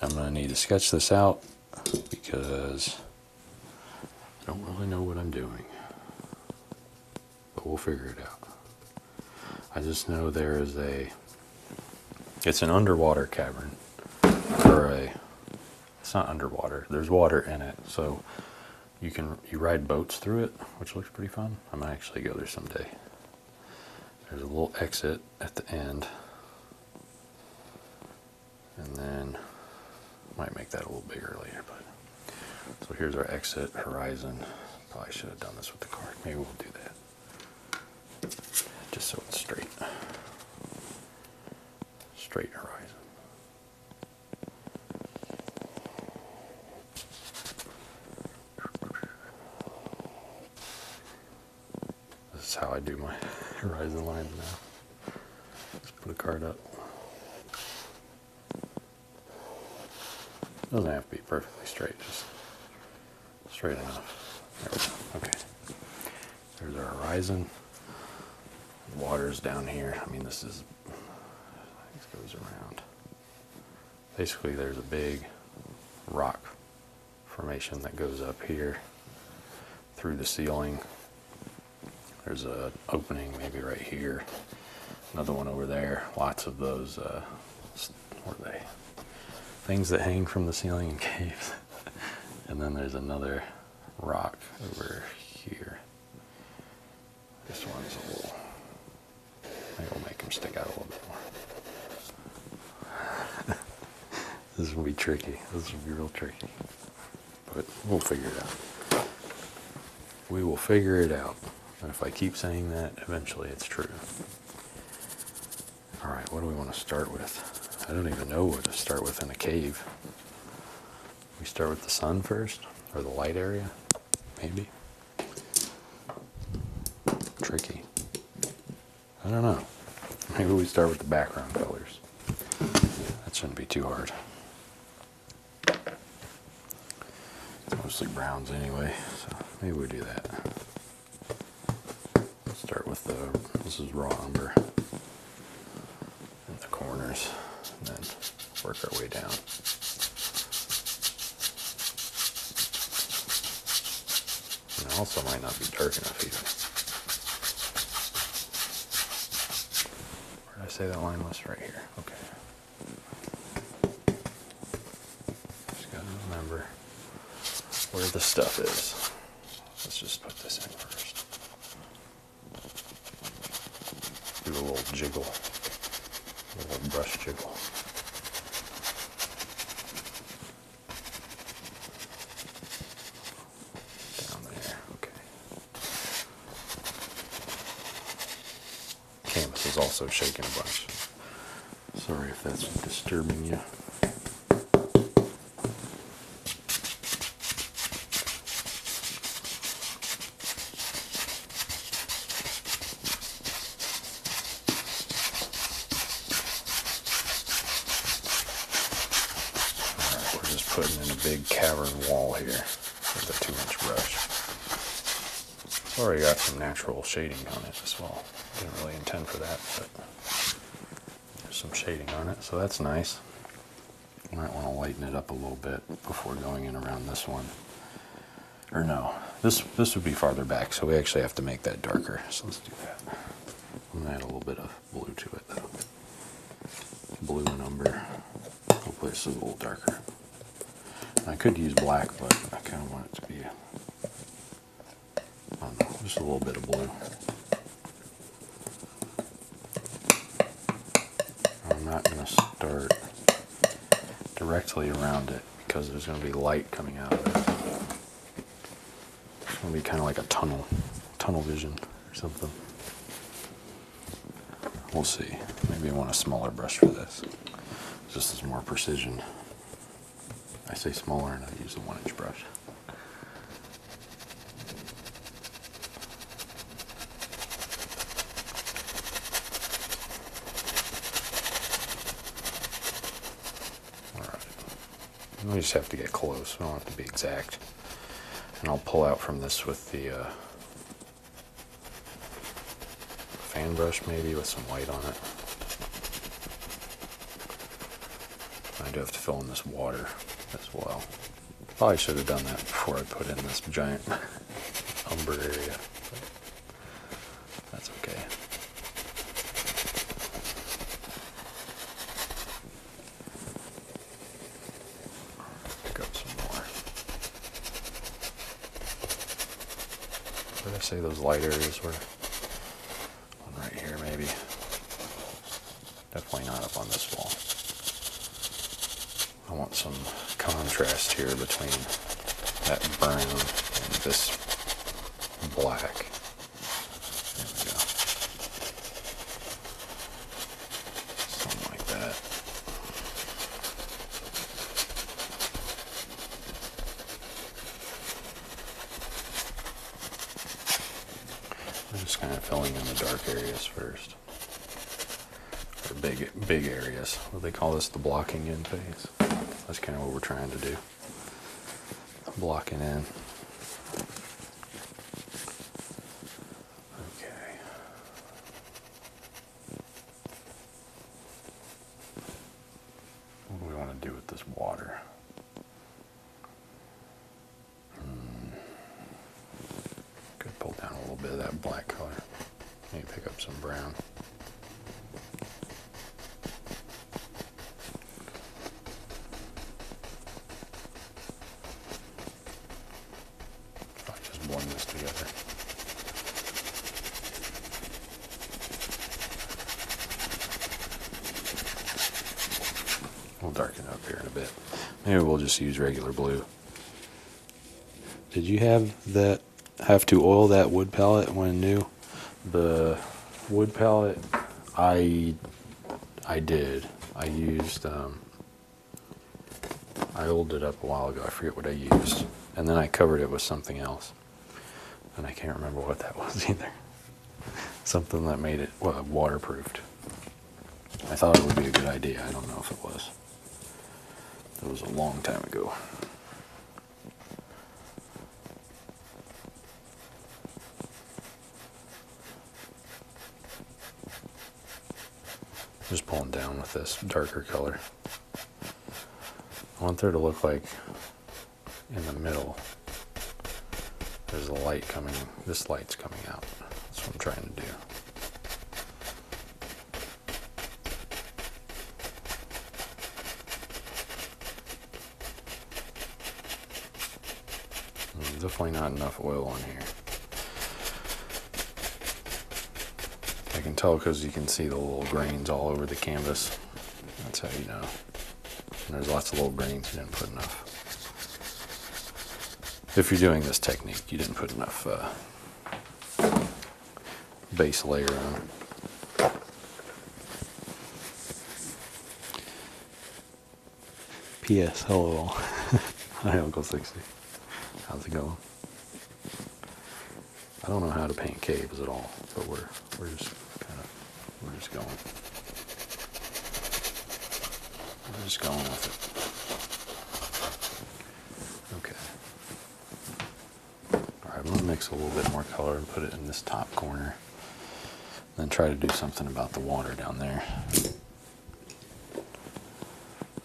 I'm going to need to sketch this out because I don't really know what I'm doing. But we'll figure it out. I just know there is a, it's an underwater cavern or a, it's not underwater. There's water in it. So you can, you ride boats through it, which looks pretty fun. I might actually go there someday. There's a little exit at the end. And then might make that a little bigger later, but so here's our exit horizon. Probably should have done this with the card. Maybe we'll do that. Just so it's straight. Straight horizon. This is how I do my horizon lines now. Just put a card up. Doesn't have to be perfectly straight, just straight enough. There we go. okay. There's our horizon. water's down here. I mean, this is, this goes around. Basically, there's a big rock formation that goes up here through the ceiling. There's a opening maybe right here. Another one over there. Lots of those, uh, what are they? Things that hang from the ceiling in caves. and then there's another rock over here. This one's a little, maybe we'll make them stick out a little bit more. this will be tricky. This will be real tricky. But we'll figure it out. We will figure it out. And if I keep saying that, eventually it's true. All right, what do we want to start with? I don't even know what to start with in a cave. We start with the sun first, or the light area, maybe. Tricky. I don't know. Maybe we start with the background colors. That shouldn't be too hard. mostly browns anyway, so maybe we do that. start with the, this is raw umber. And the corners, and then work our way down. And it also might not be dark enough either. Where did I say that line was? Right here. Okay. Just gotta remember where the stuff is. Let's just put this in first. Do a little jiggle. A little brush jiggle. Down there, okay. Canvas is also shaking a bunch. Sorry if that's disturbing you we're just putting in a big cavern wall here with a two inch brush. already got some natural shading on it as well. Didn't really intend for that, but there's some shading on it, so that's nice. Might want to lighten it up a little bit before going in around this one. Or no, this this would be farther back, so we actually have to make that darker. I'm gonna add a little bit of blue to it though. Blue and umber. Hopefully it's a little darker. I could use black, but I kind of want it to be just a little bit of blue. I'm not going to start directly around it because there's going to be light coming out it's gonna be kind of like a tunnel, tunnel vision or something. We'll see. Maybe I want a smaller brush for this. Just as more precision. I say smaller and I use a one inch brush. All right. I just have to get close. I don't have to be exact. And I'll pull out from this with the uh, fan brush maybe with some white on it. I do have to fill in this water as well. Probably should have done that before I put in this giant umber area. That's okay. Pick up some more. Where did I say those light areas were? right here, maybe. Definitely not up on this wall. I want some contrast here between that brown and this black we Something like that. We're just kind of filling in the dark areas first. Or big, big areas. they call this the blocking in phase. That's kind of what we're trying to do blocking in. Okay. What do we want to do with this water? Could hmm. pull down a little bit of that black color. Maybe pick up some brown i just blend this together. We'll darken up here in a bit. Maybe we'll just use regular blue. Did you have that have to oil that wood pellet when new? The wood pallet, I, I did. I used, um, I oiled it up a while ago. I forget what I used. And then I covered it with something else. And I can't remember what that was either. something that made it waterproofed. I thought it would be a good idea. I don't know if it was. It was a long time ago just pulling down with this darker color. I want there to look like in the middle there's a light coming, this light's coming out. That's what I'm trying to do. There's hmm, definitely not enough oil on here. I can tell because you can see the little grains all over the canvas. That's how you know. there's lots of little grains you didn't put enough. If you're doing this technique, you didn't put enough uh, base layer on P.S. Hello. Hi, Uncle Sixty. How's it going? I don't know how to paint caves at all, but we're we're just kind of we're just going. We're just going with it. Okay. All right, I'm gonna mix a little bit more color and put it in this top corner. Then try to do something about the water down there.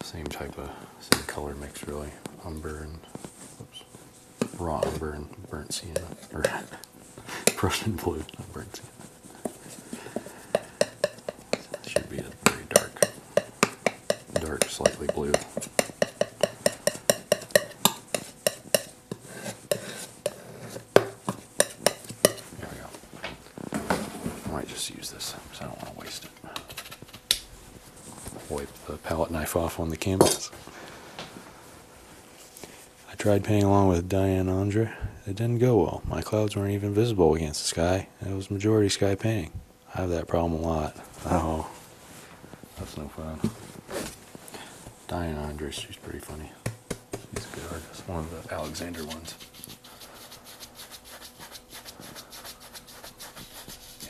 Same type of, same color mix really. Umber and, raw umber and burnt sienna, or Prussian blue, not burnt sienna. Should be a very dark, dark, slightly blue. There we go. I might just use this because I don't want to waste it. Wipe the palette knife off on the canvas. I tried painting along with Diane Andre. It didn't go well. My clouds weren't even visible against the sky. It was majority sky painting. I have that problem a lot. Oh, that's no fun. Diane Andres, she's pretty funny. She's a good artist. One of the Alexander ones.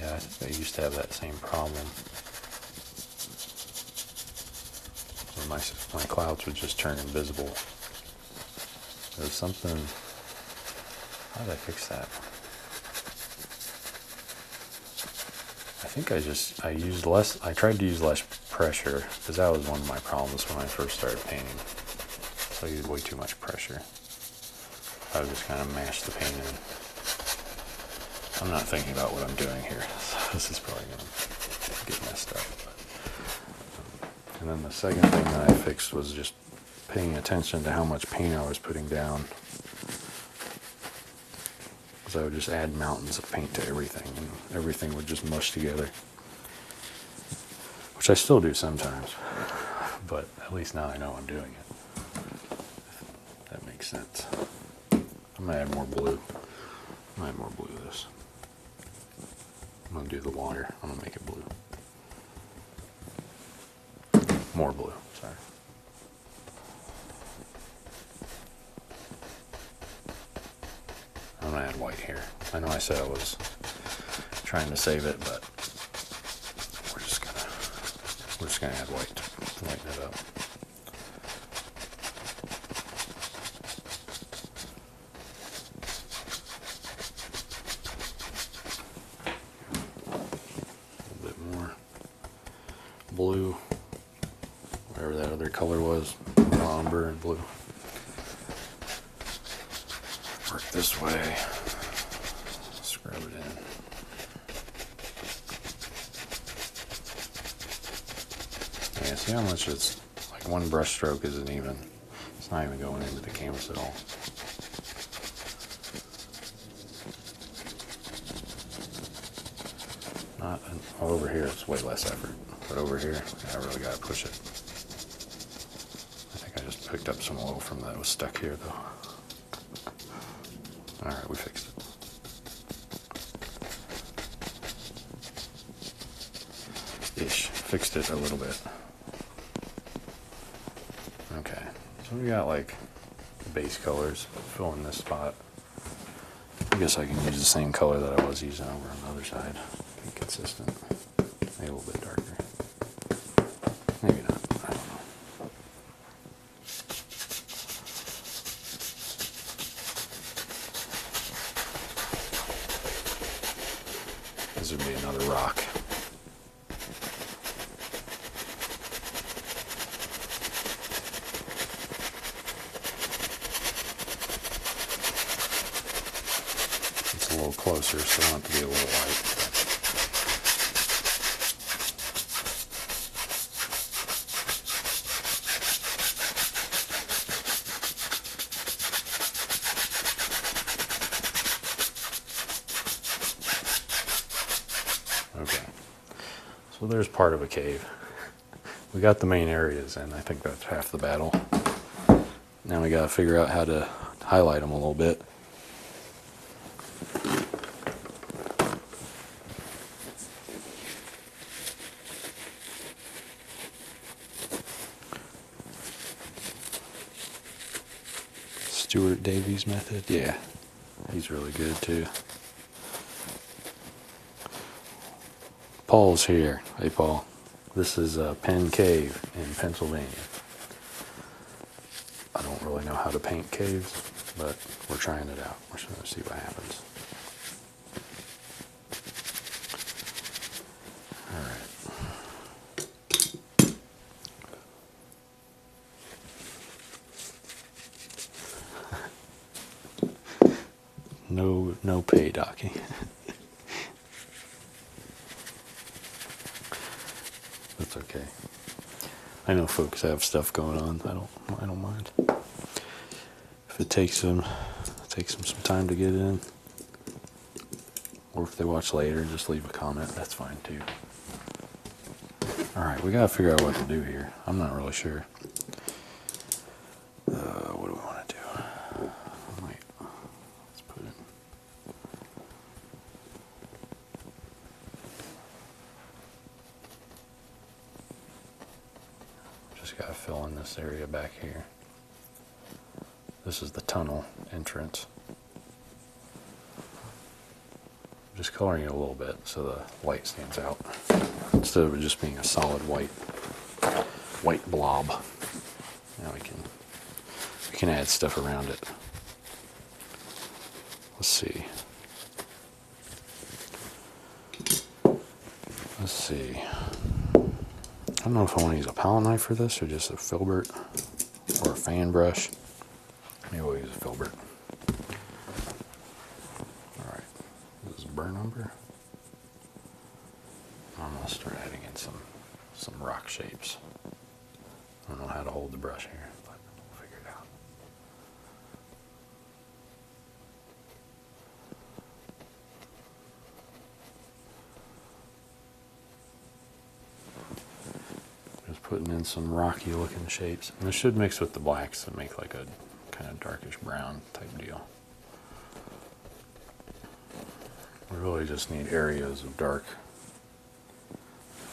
Yeah, I used to have that same problem. my, my clouds would just turn invisible. There's something. How did I fix that? I think I just, I used less, I tried to use less pressure because that was one of my problems when I first started painting. So I used way too much pressure. I would just kind of mashed the paint in. I'm not thinking about what I'm doing here. So this is probably going to get messed up. Um, and then the second thing that I fixed was just paying attention to how much paint I was putting down because I would just add mountains of paint to everything, and everything would just mush together. Which I still do sometimes, but at least now I know I'm doing it. that makes sense. I'm gonna add more blue. I'm gonna add more blue to this. I'm gonna do the water. I'm gonna make it blue. More blue, sorry. I'm gonna add white here. I know I said I was trying to save it, but we're just gonna we're just gonna add white to lighten it up. A little bit more blue, whatever that other color was, umber and blue. Work this way, scrub it in. Yeah, see how much it's like one brushstroke isn't even, it's not even going into the canvas at all. Not over here, it's way less effort. But over here, I really gotta push it. I think I just picked up some oil from that was stuck here though. All right, we fixed it. Ish, fixed it a little bit. Okay, so we got like base colors filling this spot. I guess I can use the same color that I was using over on the other side. Be consistent. Maybe a little bit darker. Maybe not. I don't know. This would be another rock. It's a little closer, so I want to be a little white. Okay. So there's part of a cave we got the main areas and I think that's half the battle. Now we got to figure out how to highlight them a little bit. Stuart Davies method, yeah, he's really good too. Paul's here. Hey, Paul. This is uh, Penn Cave in Pennsylvania. I don't really know how to paint caves, but we're trying it out. We're going to see what happens. All right. No, no pay, Docky. That's okay. I know folks have stuff going on. I don't. I don't mind. If it takes them, it takes them some time to get in, or if they watch later, just leave a comment. That's fine too. All right, we gotta figure out what to do here. I'm not really sure. Uh, what do we want to do? Wait, let's put it. Just gotta fill in this area back here. This is the tunnel entrance. Just coloring it a little bit so the light stands out instead of just being a solid white white blob. Now we can we can add stuff around it. Let's see. Let's see. I don't know if I want to use a palette knife for this or just a filbert or a fan brush. Maybe we'll use a filbert. Alright, this burn umber? I'm gonna start adding in some some rock shapes. I don't know how to hold the brush here, but we'll figure it out. Just putting in some rocky looking shapes. And it should mix with the blacks to make like a kind of darkish brown type deal. We really just need areas of dark.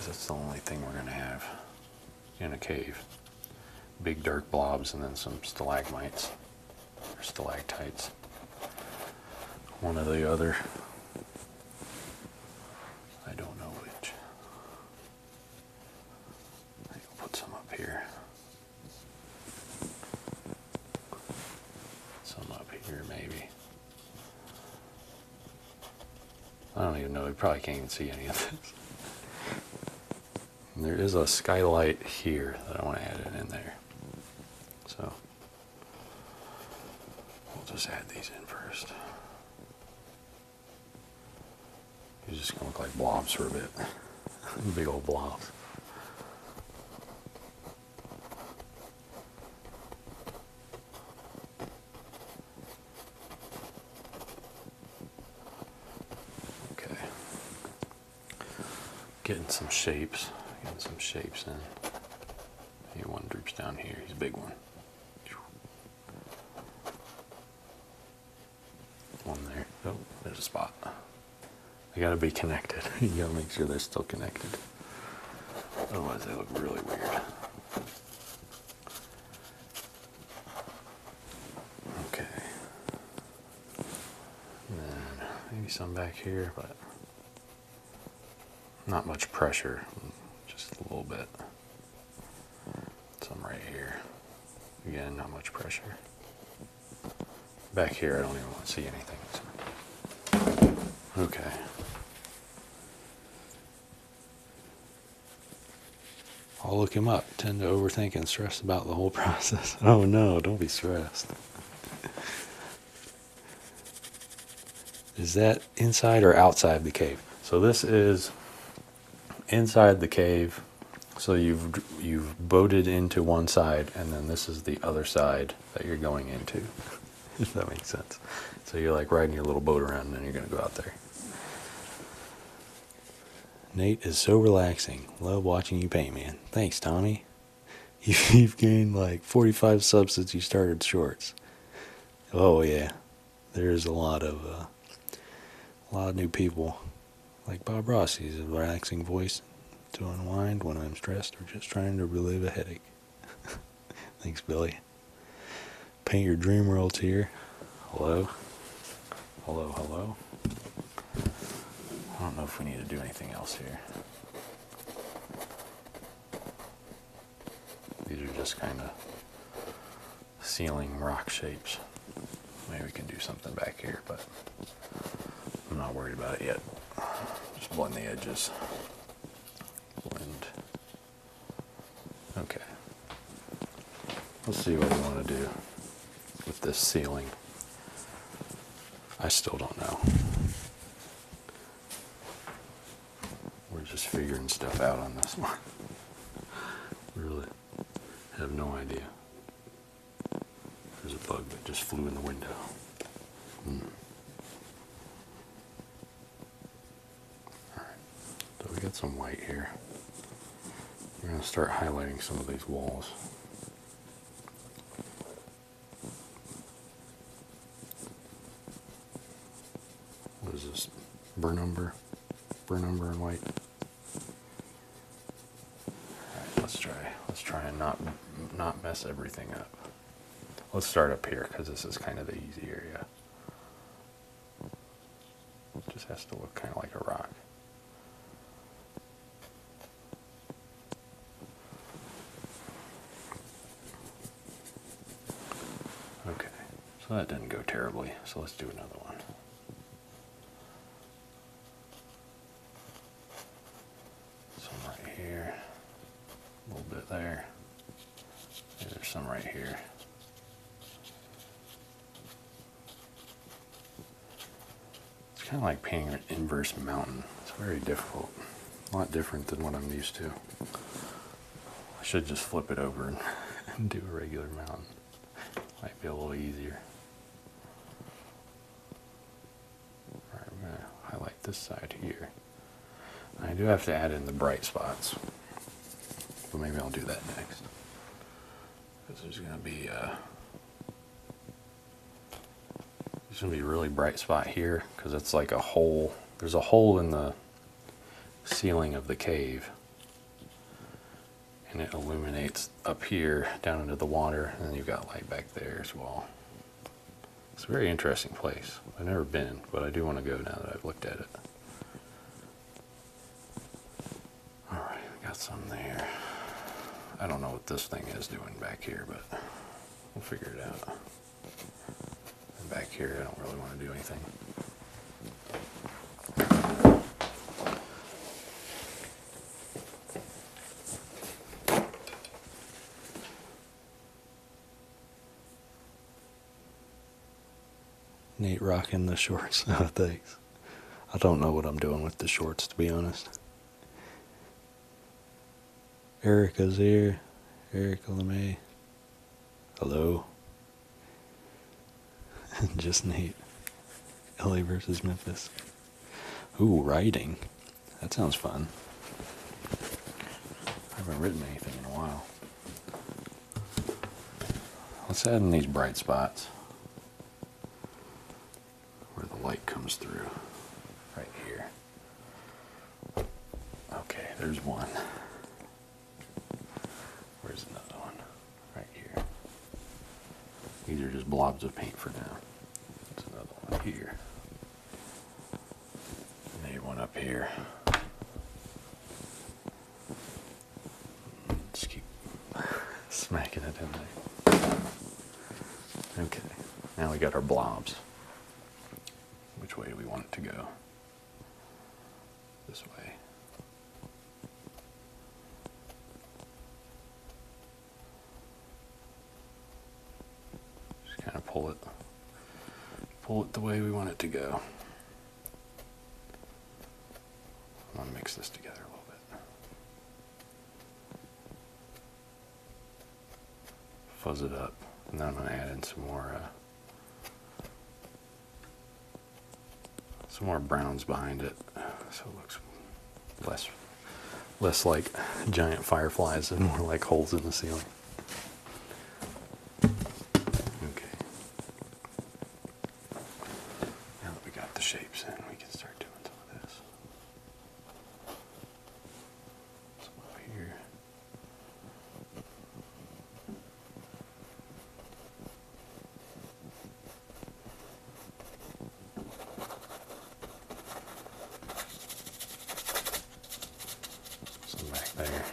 that's the only thing we're going to have in a cave. Big dark blobs and then some stalagmites or stalactites. One or the other. I don't know which. I put some up here. Some up here, maybe. I don't even know. We probably can't even see any of this. there is a skylight here that I want to add it in there. So we'll just add these in first. It's just gonna look like blobs for a bit. Big old blobs. Okay. Getting some shapes. Getting some shapes in. He one droops down here. He's a big one one there. Oh, there's a spot. I gotta be connected. you gotta make sure they're still connected. Otherwise, they look really weird. Okay. then maybe some back here, but not much pressure, just a little bit. Some right here. Again, not much pressure. Back here, I don't even want to see anything. Okay. I'll look him up. Tend to overthink and stress about the whole process. Oh no, don't be stressed. Is that inside or outside the cave? So this is inside the cave. So you've you've boated into one side, and then this is the other side that you're going into. if that makes sense. So you're like riding your little boat around, and then you're gonna go out there. Nate is so relaxing. Love watching you paint, man. Thanks, Tommy. You've gained like 45 subs since you started shorts. Oh yeah, there is a lot of uh, a lot of new people, like Bob Rossi's, a relaxing voice to unwind when I'm stressed or just trying to relieve a headache. Thanks, Billy. Paint your dream world here. Hello. Hello, hello. I don't know if we need to do anything else here. These are just kind of ceiling rock shapes. Maybe we can do something back here, but I'm not worried about it yet. Just blend the edges. Blend. Okay. Let's see what we want to do with this ceiling. I still don't know. We're just figuring stuff out on this one. really have no idea. There's a bug that just flew in the window. Hmm. Alright, so we got some white here. We're going to start highlighting some of these walls. What is this? Burnumber. Burnumber and white? Alright, let's try. Let's try and not not mess everything up. Let's start up here because this is kind of the easy area. just has to look kind of like a rock. Okay, so that didn't go terribly, so let's do another one. Some right here, a little bit there. there's some right here. It's kind of like painting an inverse mountain. It's very difficult. A lot different than what I'm used to. I should just flip it over and do a regular mountain. Might be a little easier. Alright, we going to highlight this side here. I do have to add in the bright spots, but maybe I'll do that next. Because there's going to be uh, there's going to be a really bright spot here because it's like a hole. There's a hole in the ceiling of the cave and it illuminates up here down into the water and then you've got light back there as well. It's a very interesting place. I've never been, but I do want to go now that I've looked at it. Alright, we got some there. I don't know what this thing is doing back here, but we'll figure it out. back here, I don't really want to do anything. Neat rocking the shorts. Oh, thanks. I don't know what I'm doing with the shorts, to be honest. Erica's here. Erica LeMay. Hello. Just Nate. LA versus Memphis. Ooh, writing. That sounds fun. I haven't written anything in a while. Let's add in these bright spots where the light comes through. Right here. Okay, there's one. Where's another one? right here. These are just blobs of paint for now. That's another one here. Maybe one up here. Just keep smacking it in there. Okay, now we got our blobs. Which way do we want it to go? This way. Just kind of pull it, pull it the way we want it to go. I'm gonna mix this together a little bit. Fuzz it up, and then I'm gonna add in some more uh, some more browns behind it so it looks less less like giant fireflies and more like holes in the ceiling okay now that we got the shapes in we can start doing some of this some over here some there.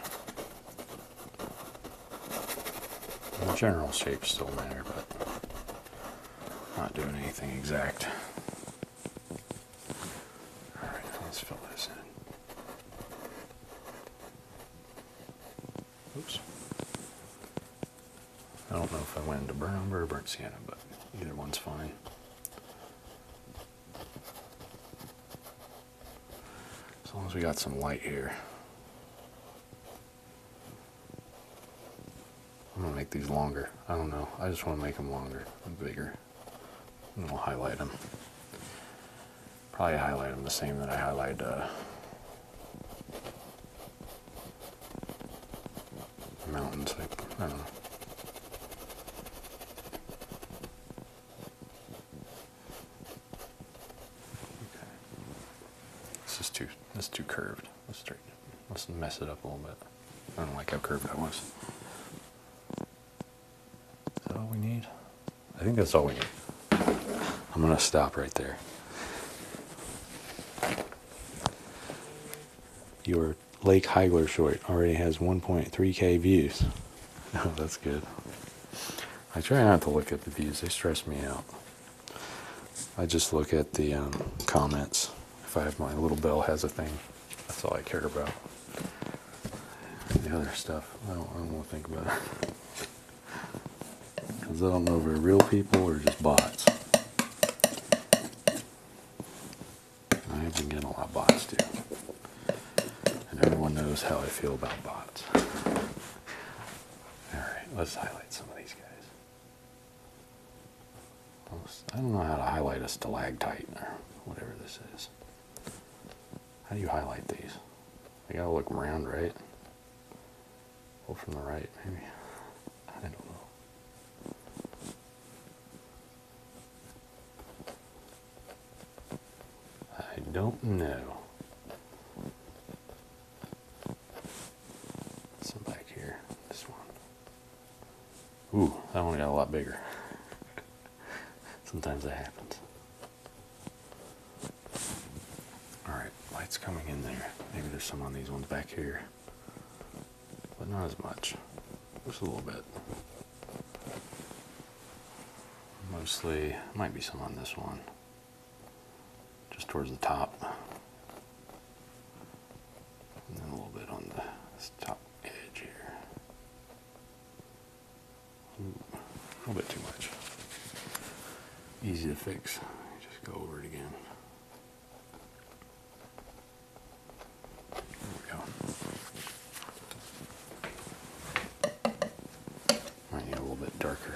The general shape still there, but not doing anything exact. Alright, let's fill this in. Oops. I don't know if I went into brown or burnt sienna, but either one's fine. As long as we got some light here. I'm gonna make these longer. I don't know. I just want to make them longer and bigger. And I'll highlight them. Probably highlight them the same that I highlight uh, mountain type. I don't know. Okay. This is too this is too curved. Let's straighten Let's mess it up a little bit. I don't like how curved that was. Is that all we need? I think that's all we need. I'm going to stop right there. Your Lake Heigler short already has 1.3k views. Oh, that's good. I try not to look at the views, they stress me out. I just look at the um, comments. If I have my little bell has a thing, that's all I care about. The other stuff, I don't, want to think about Because I don't know if they're real people or just bots. I have been getting a lot of bots too. And everyone knows how I feel about bots. Alright, let's highlight some of these guys. I don't know how to highlight a stalactite or whatever this is. How do you highlight these? I gotta look around, right? Oh, from the right, maybe. I don't know. I don't know. Some back here. This one. Ooh, that one got a lot bigger. Sometimes that happens. Alright, light's coming in there. Maybe there's some on these ones back here. But not as much. Just a little bit. Mostly, might be some on this one. Just towards the top. And a little bit on the top edge here. a little bit too much easy to fix. Just go over it again. There we go. Might need a little bit darker.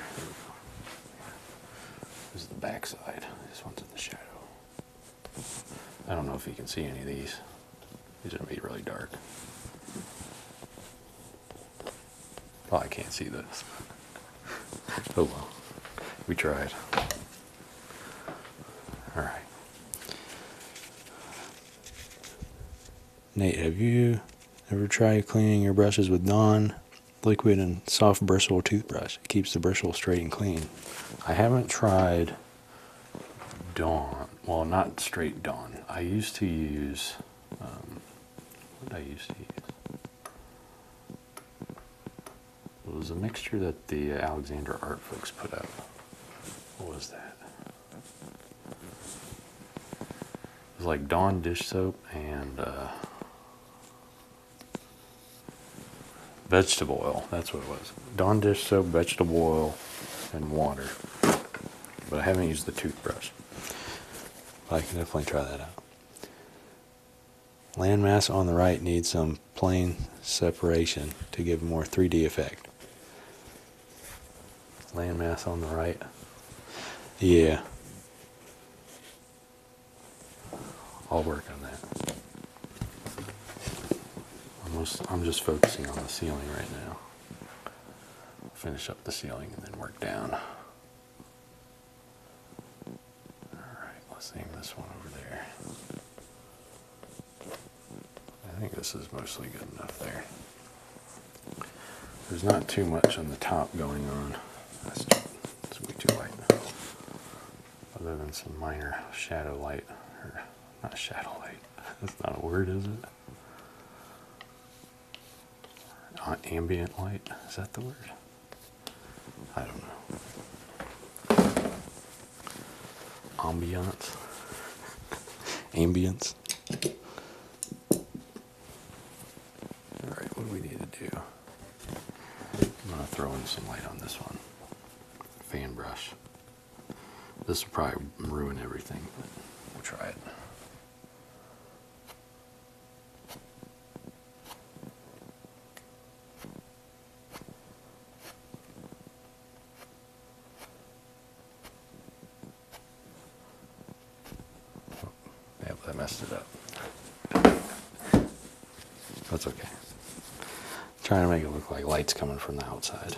This is the back side. This one's in the shadow. I don't know if you can see any of these. These are going to be really dark. Oh, I can't see this. oh well, we tried. All right. Nate, have you ever tried cleaning your brushes with Dawn liquid and soft bristle toothbrush? It keeps the bristles straight and clean. I haven't tried Dawn. Well, not straight Dawn. I used to use. Um, what did I used to use? It was a mixture that the Alexander Art folks put up. What was that? It was like Dawn dish soap and uh, vegetable oil. That's what it was. Dawn dish soap, vegetable oil, and water. But I haven't used the toothbrush. But I can definitely try that out. Landmass on the right needs some plane separation to give more 3D effect. Landmass on the right. Yeah. I'll work on that. I'm just, focusing on the ceiling right now. Finish up the ceiling and then work down. Alright, let's aim this one over there. I think this is mostly good enough there. There's not too much on the top going on. That's, that's way too light. Other than some minor shadow light. Or not shadow light. that's not a word, is it? ambient light, is that the word? I don't know. Ambiance. Ambience. Alright, what we need to do? I'm going to throw in some light on this one. Fan brush. This will probably ruin everything, but we'll try it. Oh, yep, I messed it up. That's okay. trying to make it look like lights coming from the outside.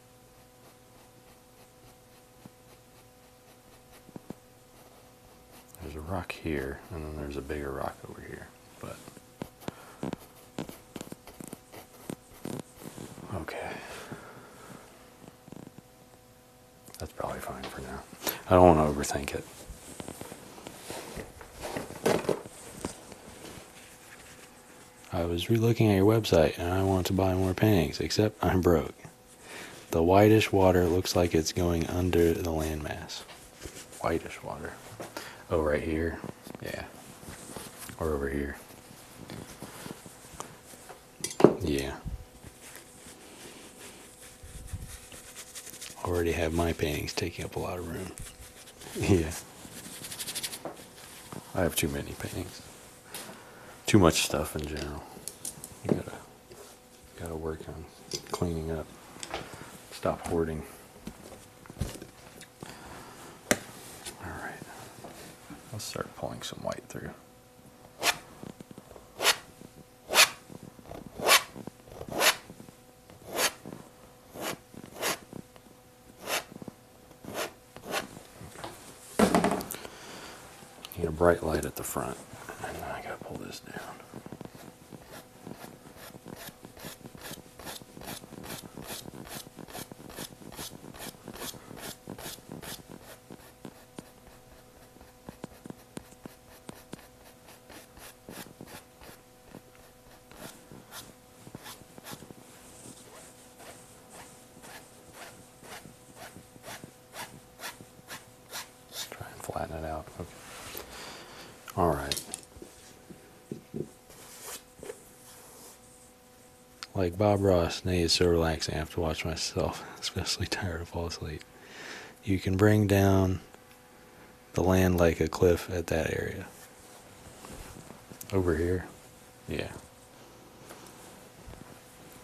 There's a rock here, and then there's a bigger rock over here. But okay, that's probably fine for now. I don't want to overthink it. I was relooking at your website and I want to buy more paintings, except I'm broke. The whitish water looks like it's going under the landmass. Whitish water. Oh, right here. Yeah. Or over here. Yeah. Already have my paintings taking up a lot of room. Yeah. I have too many paintings. Too much stuff in general. gotta, gotta work on cleaning up. Stop hoarding. Alright. I'll start pulling some white through. Need a bright light at the front. And then I gotta pull this down. Let's try and flatten it out. Okay. All right. Like Bob Ross, nay, it's so relaxed. I have to watch myself, especially tired to fall asleep. You can bring down the land like a cliff at that area. Over here. Yeah.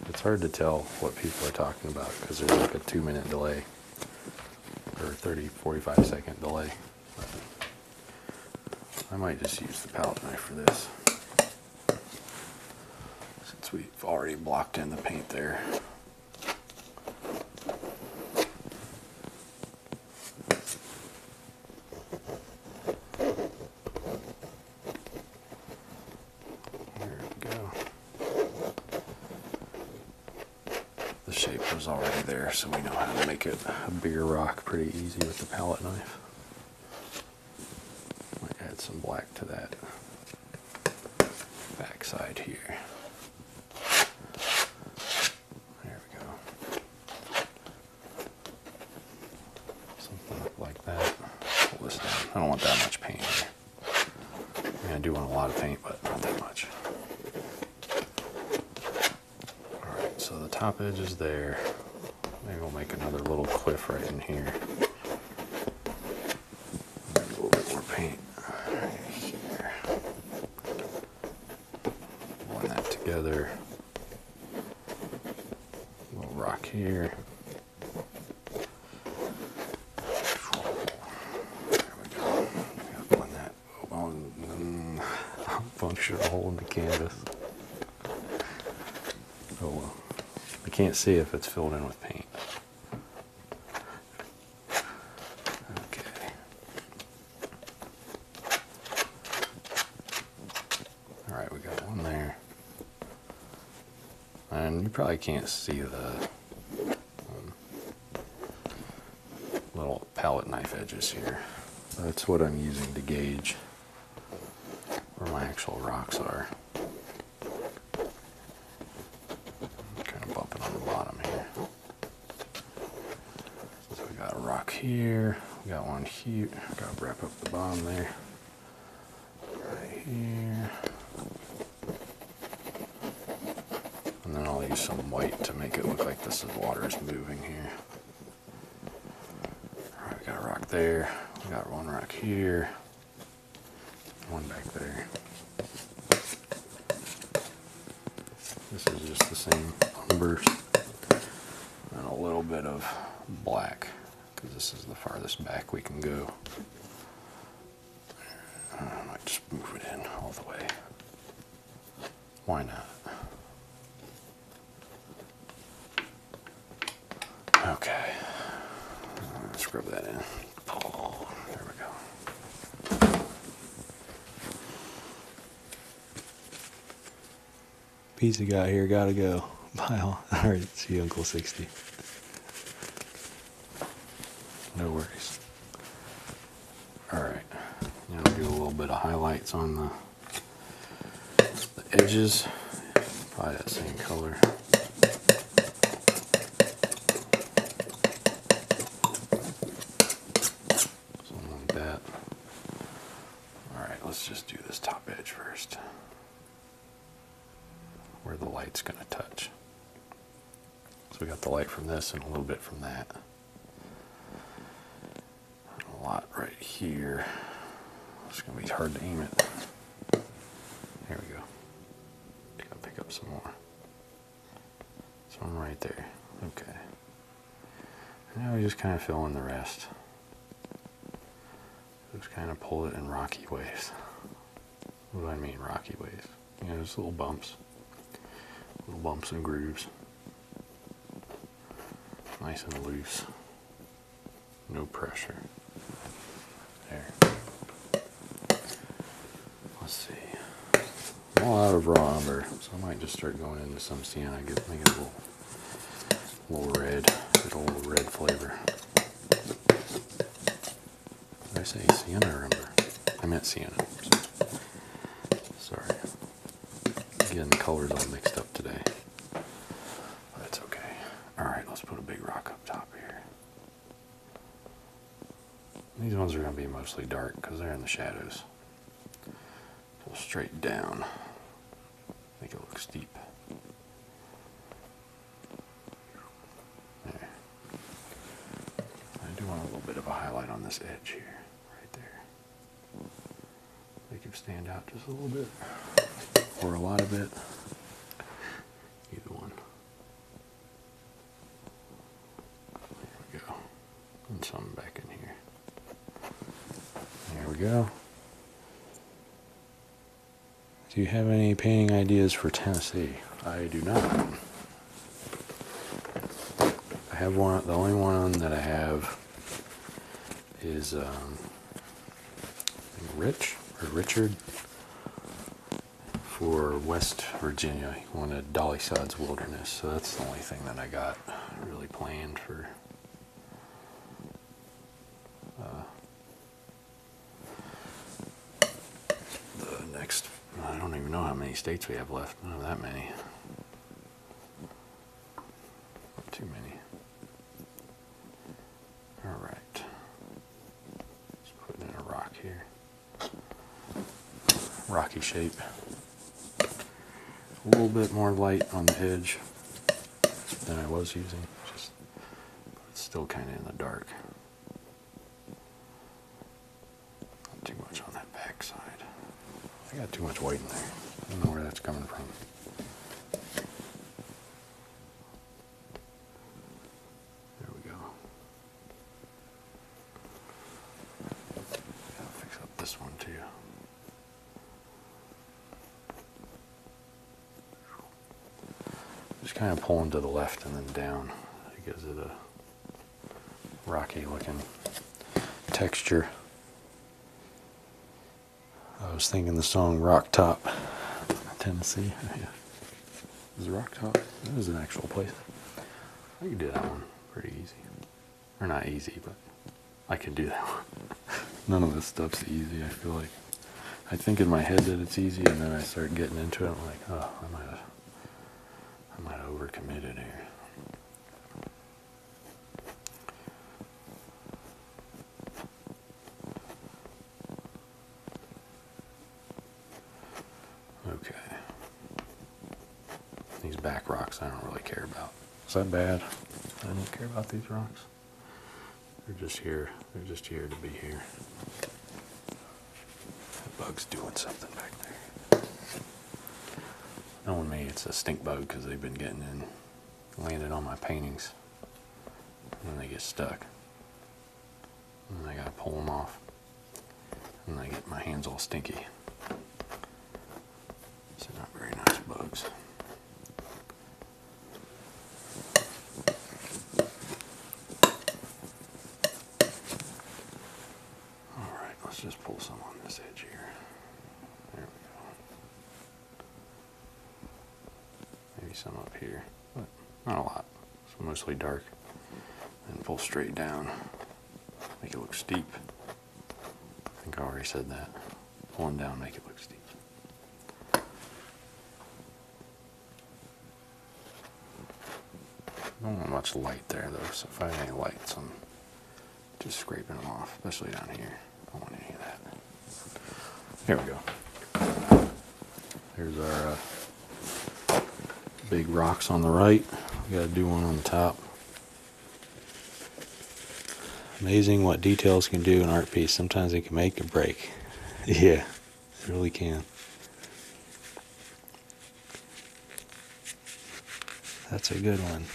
It's hard to tell what people are talking about because there's like a two minute delay or 30, 45 second delay. I might just use the palette knife for this since we've already blocked in the paint there. Here we go. The shape was already there, so we know how to make it a bigger rock pretty easy with the palette knife. Might add some black to that backside here. There we go. Something like that. Pull this down. I don't want that much paint I do want a lot of paint, but not that much. Alright, so the top edge is there. Maybe we'll make another little cliff right in here. a little bit more paint. here. Line that together. Little rock here. punctured a hole in the canvas. Oh well. I can't see if it's filled in with paint. Okay. All right, we got one there. And you probably can't see the um, little palette knife edges here. That's what I'm using to gauge where my actual rocks are. kind of bumping on the bottom here. So we got a rock here, we got one here, gotta wrap up the bottom there. Right here. And then I'll use some white to make it look like this is water is moving here. Alright, we got a rock there, we got one rock here, one back there. This is just the same numbers and a little bit of black because this is the farthest back we can go. I might just move it in all the way. Why not? Okay, let's rub that in. there we go. Pizza guy here, gotta go. Bye Alright, see you, Uncle 60. No worries. Alright, now do a little bit of highlights on the, the edges. Probably that same color. Something like that. Alright, let's just do this top edge first. Where the light's going to touch. So we got the light from this and a little bit from that. a lot right here. It's going to be hard to aim it. There we go. Gotta pick up some more. So I'm right there. Okay now we just kind of fill in the rest. Just kind of pull it in rocky ways. What do I mean rocky ways? You know, just little bumps. Little bumps and grooves. Nice and loose. No pressure. There. Let's see. all out of raw umber, so I might just start going into some sienna. I it a little little red, little red flavor. I say sienna Remember, I meant sienna. Sorry. Again, the colors all mixed up today. That's okay. Alright, let's put a big rock up top here. These ones are going to be mostly dark because they're in the shadows pull straight down. Make it look steep. There. I do want a little bit of a highlight on this edge here, right there. Make it stand out just a little bit, or a lot of it. Either one. There we go. And some back in here. There we go. Do you have any painting ideas for Tennessee? I do not. I have one, the only one that I have is um, Rich or Richard for West Virginia. He wanted Dolly Sod's Wilderness, so that's the only thing that I got really planned for uh, the next, I don't even know how many states we have left. Not that many. too many. All right. Just putting in a rock here. Rocky shape a little bit more light on the edge than I was using. Just, it's still kind of in the dark. too much on that back I got too much white in there. I don't know where that's coming from. There we go. fix up this one too. Just kind of pulling to the left and then down. It gives it a rocky looking texture. I was thinking the song Rock Top, Tennessee. Is Rock Top? That is an actual place. I could do that one pretty easy. They're not easy, but I can do that one. None of this stuff's easy, I feel like. I think in my head that it's easy, and then I start getting into it. I'm like, oh, I might have, I might have overcommitted here. Okay. These back rocks I don't really care about. Is that bad? I don't care about these rocks. They're just here. They're just here to be here. That bug's doing something back there. Knowing me, it's a stink bug because they've been getting in, landing on my paintings. And they get stuck. And I gotta pull them off. And I get my hands all stinky. These are not very nice bugs. Alright, let's just pull some on this edge here. There we go. Maybe some up here, but not a lot. It's mostly dark. And pull straight down. Make it look steep. I think I already said that. One down, make it look steep. I don't want much light there though, so if I have any lights, I'm just scraping them off, especially down here. don't want any of that. Here we go. There's our uh, big rocks on the right. We gotta do one on the top. Amazing what details can do in art piece. Sometimes they can make or break. Yeah, it really can. That's a good one.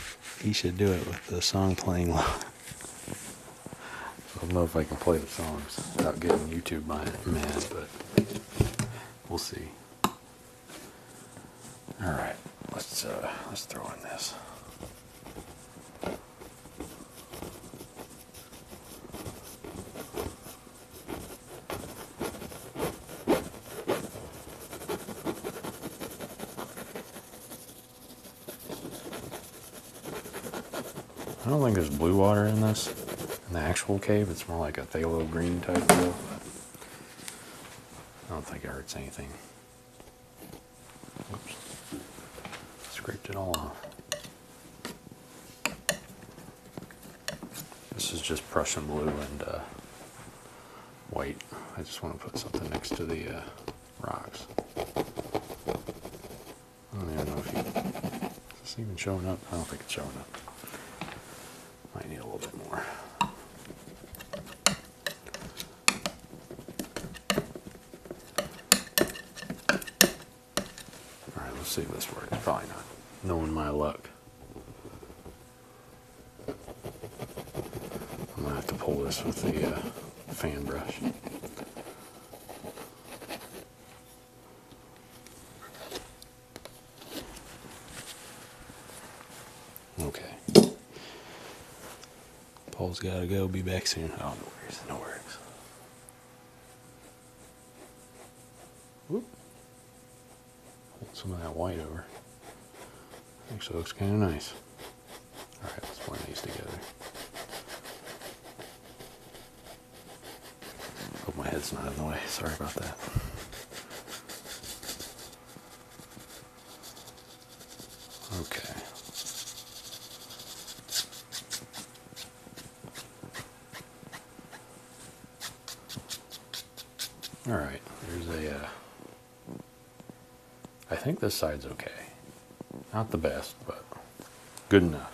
He should do it with the song playing low. I don't know if I can play the songs without getting YouTube mad, but we'll see. All right, let's uh, let's throw in this. I don't think there's blue water in this. In the actual cave, it's more like a phthalo green type deal. I don't think it hurts anything. Scraped it all off. This is just Prussian blue and uh, white. I just want to put something next to the uh, rocks. I don't even know if it's even showing up? I don't think it's showing up. Might need a little bit more. All right, let's see if this works. Probably not. Knowing my luck. I'm gonna have to pull this with the uh, fan brush. Okay. Paul's gotta go. Be back soon. Oh, no worries. No worries. Whoop. Hold some of that white over. Actually looks kind of nice. Alright, let's blend these together. Hope my head's not in the way. Sorry about that. Okay. All right, there's a. Uh, I think this side's okay. Not the best, but good enough.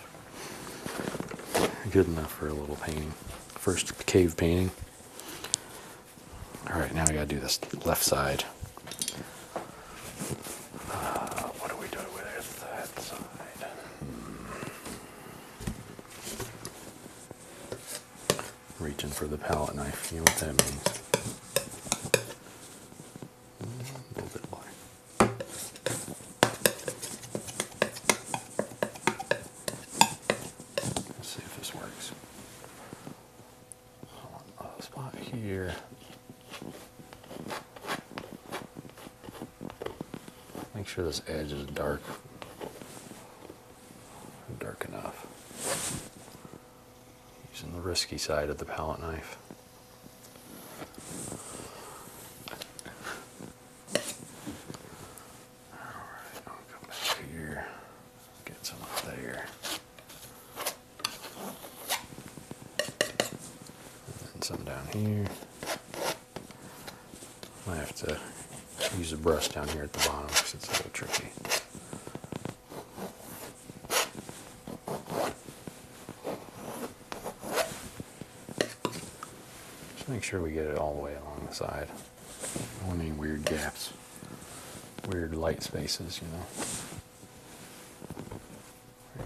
Good enough for a little painting. First cave painting. All right, now we gotta do this left side. Uh, hmm. Reaching for the palette knife, you know what that means. Hmm, a little bit black. see if this works on a spot here. Make sure this edge is dark, dark enough. Using the risky side of the palette knife. All right, I'll here, get some up there. And some down here. I have to use a brush down here at the bottom because it's a little tricky. Just make sure we get it all the way along the side. I don't want any weird gaps weird light spaces, you know.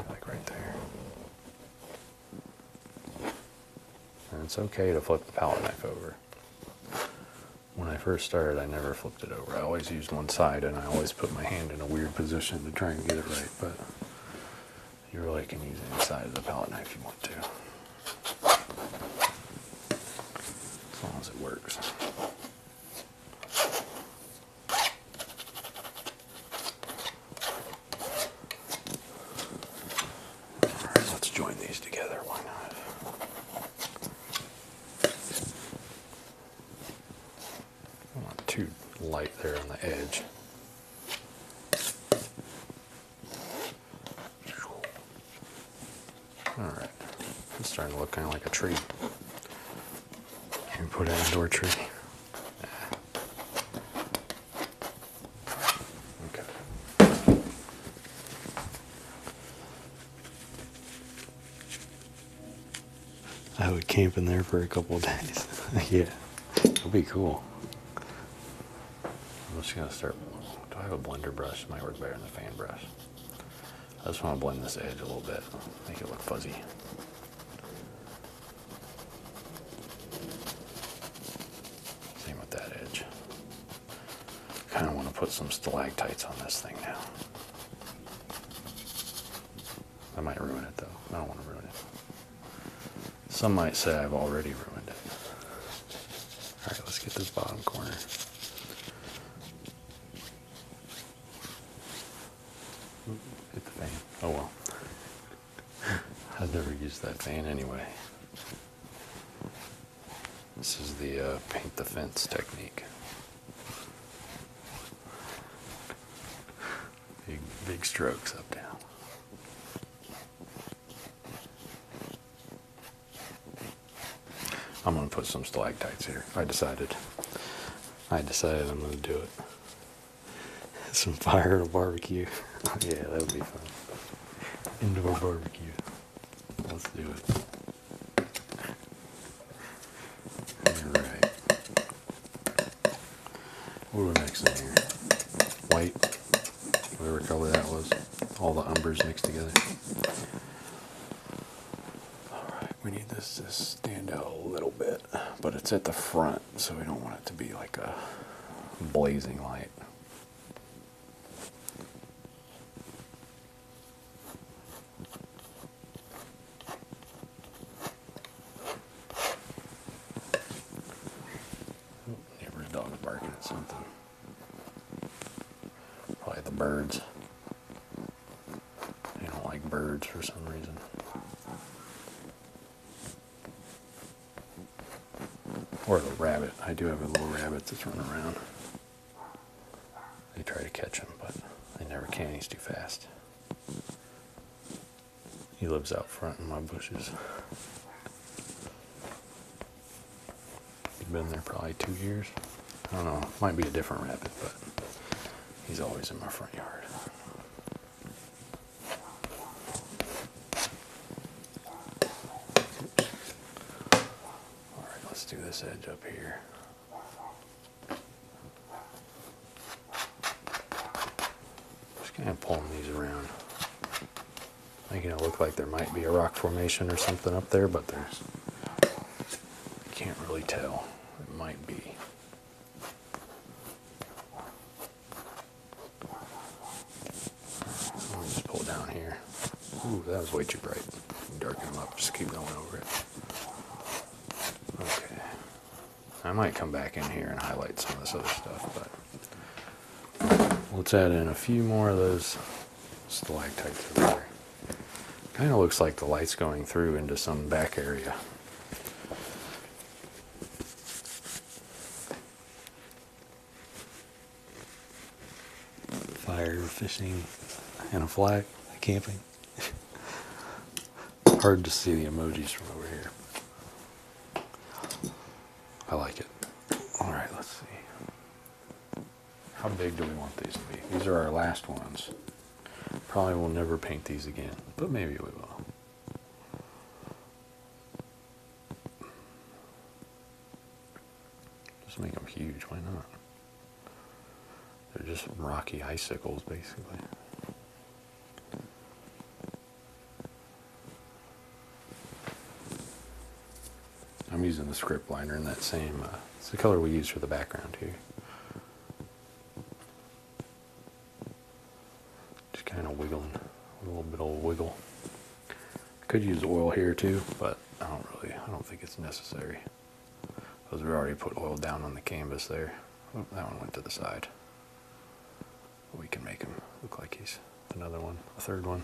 Like right there. it's okay to flip the palette knife over. When I first started, I never flipped it over. I always used one side and I always put my hand in a weird position to try and get it right, but you really can use any side of the palette knife you want to. As long as it works let's join these together, why not? not too light there on the edge. Alright, it's starting to look kind of like a tree. You put it an indoor tree. Okay. I would camp in there for a couple days. yeah, it'll be cool. I'm just gonna start. Do I have a blender brush? might work better than the fan brush. I just want to blend this edge a little bit, make it look fuzzy. Same with that edge. Kind of want to put some stalactites on this thing now. I might ruin it though. I don't want to ruin it. Some might say I've already ruined it. Alright, let's get this bottom corner. Hit the fan. Oh well. I've never used that van anyway. This is the uh, paint the fence technique. Big, big strokes up down. I'm going to put some stalactites here. I decided. I decided I'm going to do it. Some fire and a barbecue. yeah, that would be fun. Indoor barbecue. Let's do it. Alright. What are we mixing here? White. Whatever color that was. All the umbers mixed together. Alright, we need this to stand out a little bit, but it's at the front, so we don't want it to be like a blazing light. Oh, neighbor's dog's barking at something. Probably the birds. I don't like birds for some reason. Or the rabbit. I do have a little rabbit that's running around. They try to catch him, but they never can. He's too fast. He lives out front in my bushes. He's been there probably two years. I don't know, might be a different rabbit, but he's always in my front yard. Alright, let's do this edge up here. Just kind of pulling these around. Making it look like there might be a rock formation or something up there, but there's I can't really tell. It might be. Let me just pull down here. Ooh, that was way too bright. Darken them up. Just keep going over it. Okay. I might come back in here and highlight some of this other stuff, but let's add in a few more of those it's stalactites over there. Kind of looks like the light's going through into some back area. Fire, fishing, and a flag, camping. Hard to see the emojis from over here. I like it. All right, let's see. How big do we want these to be? These are our last ones. Probably we will never paint these again, but maybe we will. Just make them huge, why not? They're just rocky icicles, basically. I'm using the script liner in that same, uh, it's the color we use for the background here. Just kind of wiggling, a little bit of wiggle. Could use oil here too, but I don't really, I don't think it's necessary. Because we already put oil down on the canvas there. Oh, that one went to the side. We can make him look like he's another one, a third one.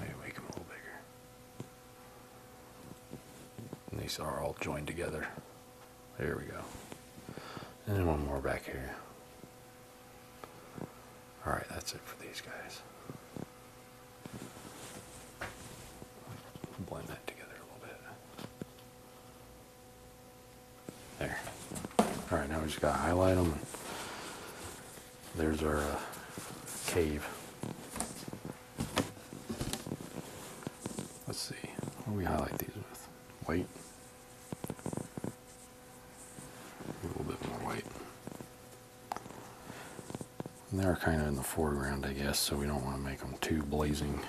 Maybe make him a little bigger. And these are all joined together. There we go. And then one more back here. Alright, that's it for these guys. Blend that together a little bit. There. Alright, now we just gotta highlight them there's our uh, cave. Let's see, what do we highlight these with? White. A little bit more white. And they are kind of in the foreground, I guess, so we don't want to make them too blazing,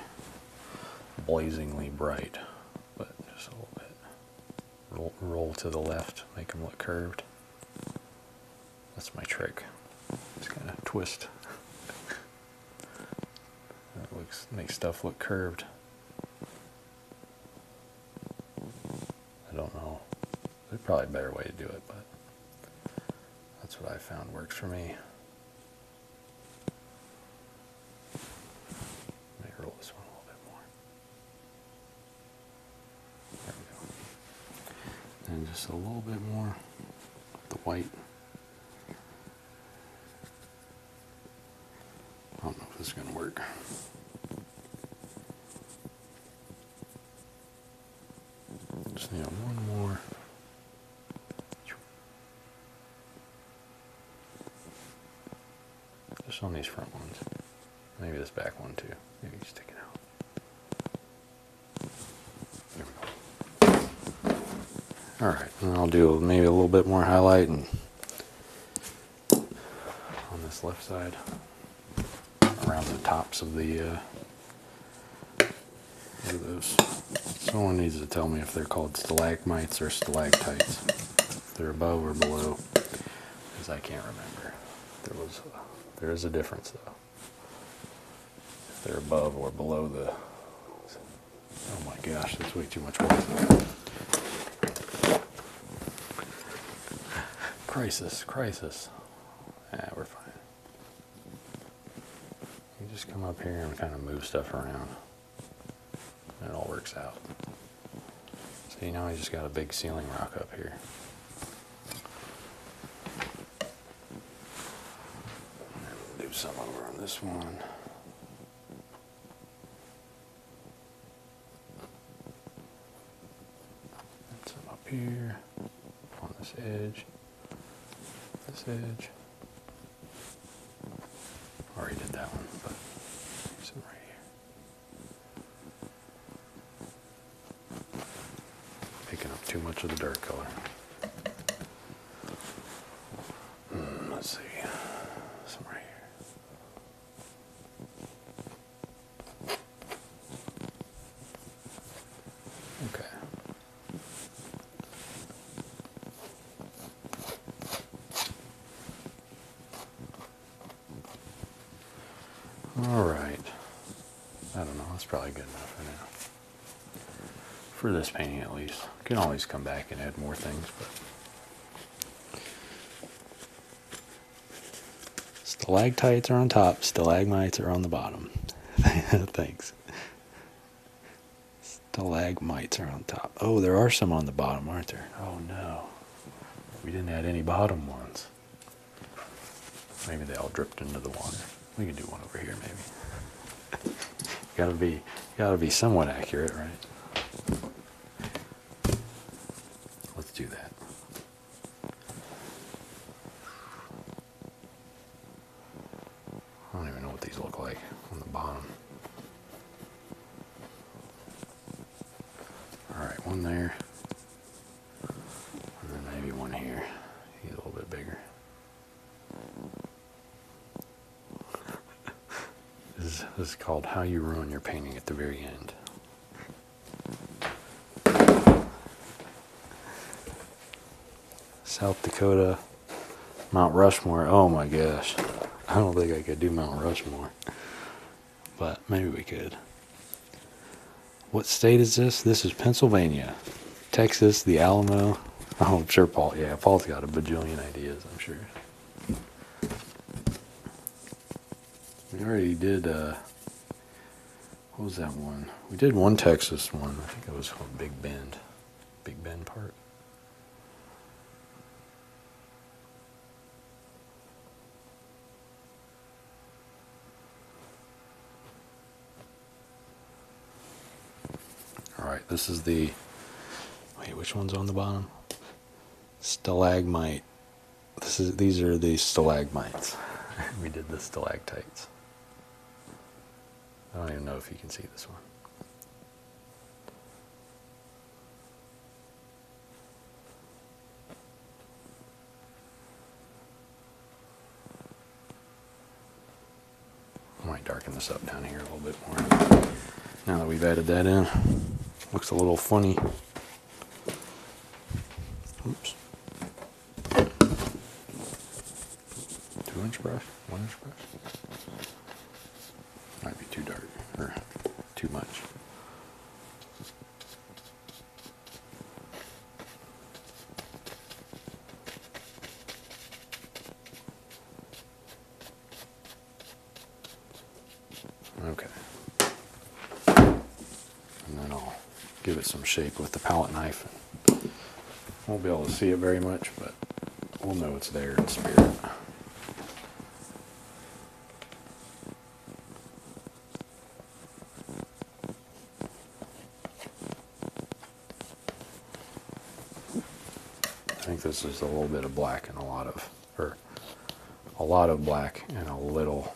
blazingly bright, but just a little bit. roll to the left, make them look curved. That's my trick. Just kind of twist. that looks makes stuff look curved. I don't know. There's probably a better way to do it, but that's what I found works for me. Let roll this one a little bit more. And just a little bit more of the white. I don't know if this is going to work. Just need one more. Just on these front ones. Maybe this back one too. Maybe stick it out. All right, and I'll do maybe a little bit more highlighting on this left side around the tops of the, uh, those? Someone needs to tell me if they're called stalagmites or stalactites. they're above or below, because I can't remember. There was, there is a difference though if they're above or below the, oh my gosh, that's way too much water. Crisis, crisis. Yeah, we're fine. You just come up here and kind of move stuff around. it all works out. So you know, I just got a big ceiling rock up here. We'll do some over on this one. And some up here on this edge, this edge. Already did that one, but some right here. Picking up too much of the dirt color. Hmm, let's see. Some right here. Okay. All right. I don't know. That's probably good enough for now. For this painting, at least. Can always come back and add more things, but stalactites are on top, stalagmites are on the bottom. Thanks. Stalagmites are on top. Oh, there are some on the bottom, aren't there? Oh no. We didn't add any bottom ones. Maybe they all dripped into the water. We can do one over here, maybe. gotta be, gotta be somewhat accurate, right? Let's do that. I don't even know what these look like on the bottom. All right, one there. And then maybe one here. He's a little bit bigger. this, is, this is called How You Ruin Your Painting at the Very End. South Dakota, Mount Rushmore. Oh my gosh. I don't think I could do Mount Rushmore. But maybe we could. What state is this? This is Pennsylvania, Texas, the Alamo. Oh, sure Paul, yeah, Paul's got a bajillion ideas, I'm sure. We already did, uh, what was that one? We did one Texas one. I think it was called Big Bend. Big Bend part. All right, this is the, wait, which one's on the bottom? Stalagmite. This is, these are the stalagmites. we did the stalactites. I don't even know if you can see this one might darken this up down here a little bit more. Now that we've added that in, looks a little funny. Oops. Two inch brush, one inch brush. Might be too dark or too much. Okay. And then I'll give it some shape with the palette knife. Won't be able to see it very much, but we'll know it's there in spirit. I think this is a little bit of black and a lot of, or a lot of black and a little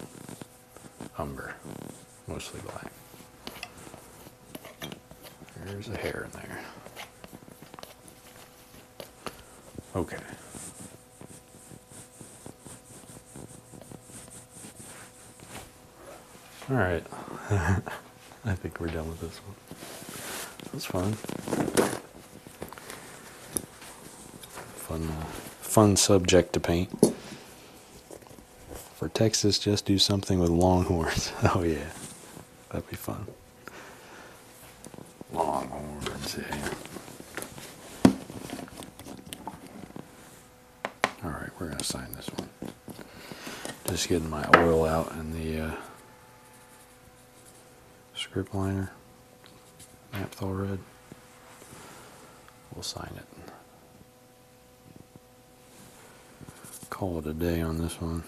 umber, mostly black. There's a hair in there. Okay. All right, I think we're done with this one. That's fun. Fun, uh, fun subject to paint. For Texas, just do something with longhorns. oh yeah, that'd be fun. Longhorns, yeah. All right, we're gonna sign this one. Just getting my oil out and the uh, scrip liner, naphthol red. We'll sign it. Call it a day on this one.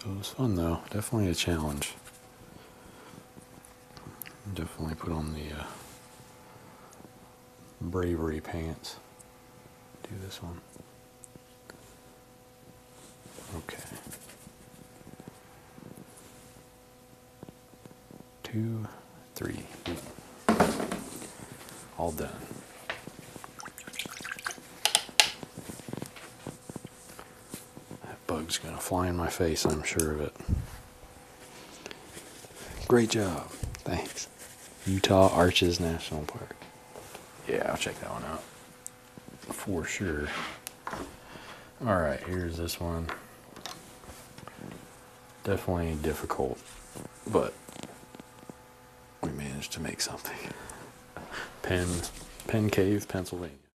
It was fun though, definitely a challenge. Definitely put on the uh, bravery pants. Do this one. Okay. Two, three. All done. That bug's going to fly in my face, I'm sure of it. Great job. Thanks. Utah Arches National Park. Yeah, I'll check that one out. For sure. Alright, here's this one. Definitely difficult, but we managed to make something. Penn, Penn Cave, Pennsylvania.